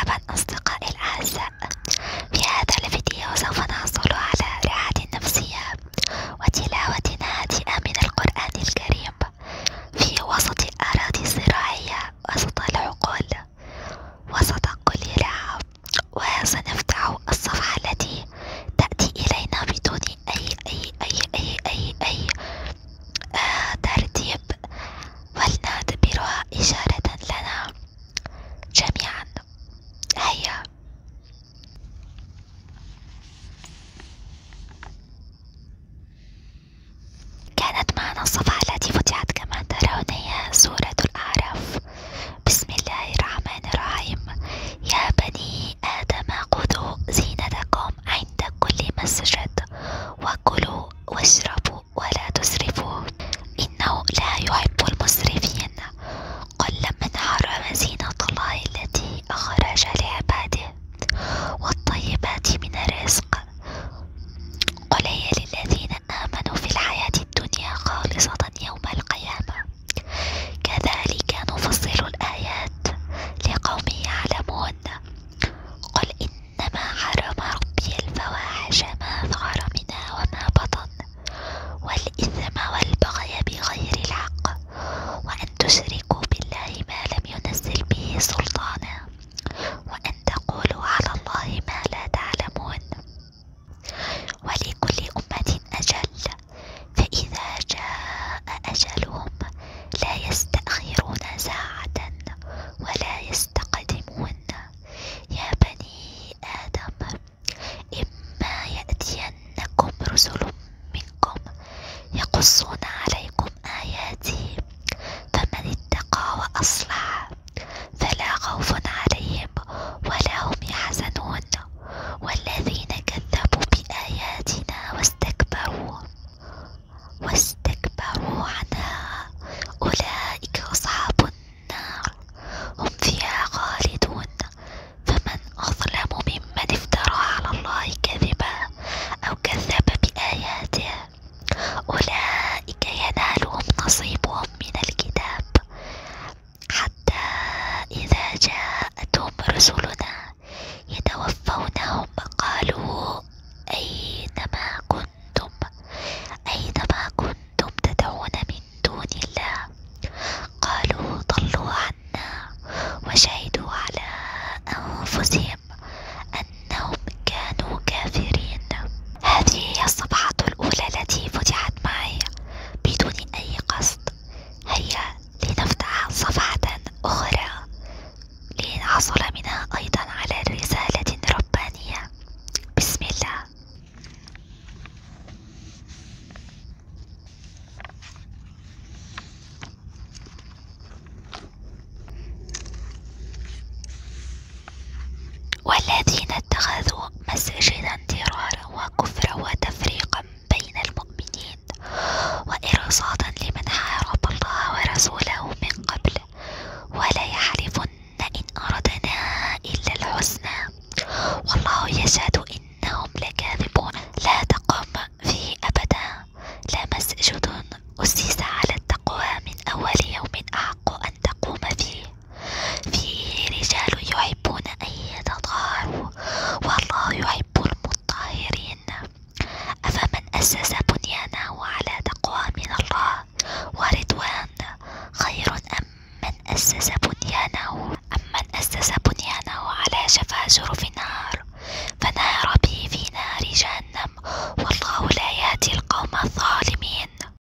مرحبا أصدقائي الأعزاء في هذا الفيديو سوف نحصل على راحة نفسية وتلاوة هادئة من القرآن الكريم في وسط الأراضي الزراعية وسط العقول وسط كل راحة وسنفتح الصفحة التي تأتي إلينا بدون أي أي أي أي أي, أي آه، ترتيب ولنعتبرها إشارة لنا جميعا هيا كانت معنا الصفحة التي فتحت كما ترون هي سورة الأعراف بسم الله الرحمن الرحيم يا بني آدم خذوا زينتكم عند كل مسجد وكلوا واشربوا ولا تسرفوا إنه لا يحب المسرفين قل من حرم زينة الله التي أخرج لعباده والطيبات من الرزق قل هي للذين آمنوا في الحياة الدنيا خالصة يوم القيامة كذلك نفصل الآيات لقوم يعلمون قل إنما حرم ربي الفواحش ما ظهر منها وما بطن والإثم والبغي بغير الحق وأن تشركوا بالله ما لم ينزل به سلطانا وأن تقولوا على الله ما لا تعلمون ولكل أمة أجل فإذا جاء أجلهم لا يستأخرون ساعة ولا يستقدمون يا بني آدم إما يأتينكم رسل منكم يقصون عليكم آياتي فمن اتقى وأصلح فلا خوف عليهم ولا هم يحزنون والذين كذبوا بآياتنا واستكبروا واستكبروا عنها أولئك أصحاب النار هم فيها خالدون فمن أظلم ممن افترى على الله كذبا أو كذب بآياته أولئك ينالهم نصيبهم من الكتاب حتى إذا جاءتهم رسلنا يتوفونهم قالوا أينما كنتم أينما كنتم تدعون من دون الله قالوا ضلوا عنا وشهدوا على أنفسهم أنهم كانوا كافرين هذه هي الصفحة الأولى التي فتحت معي بدون أي قصد هيا لنفتح صفحة أخرى لنحصل منها أيضا على رسالة ربانية بسم الله والذين اتخذوا مساجدا ضرارا وكفرا وتفريقا بين المؤمنين وإرصادا لمن حارب الله ورسوله من قبل ولا يحلفن إن أردنا إلا الحسنى والله يشهد إنهم لكاذبون لا تقم فيه أبدا لا مسجد أسس على التقوى من أول يوم أحق أن تقوم فيه فيه رجال يحبون أن يتطهروا والله يحب المطهرين أفمن أسس بنيانه على تقوى من الله ورضوان خير أم من أسس بنيانه أم من أسس بنيانه على شفا جرف نار فنار به في نار جهنم والله لا يهدي القوم الظالمين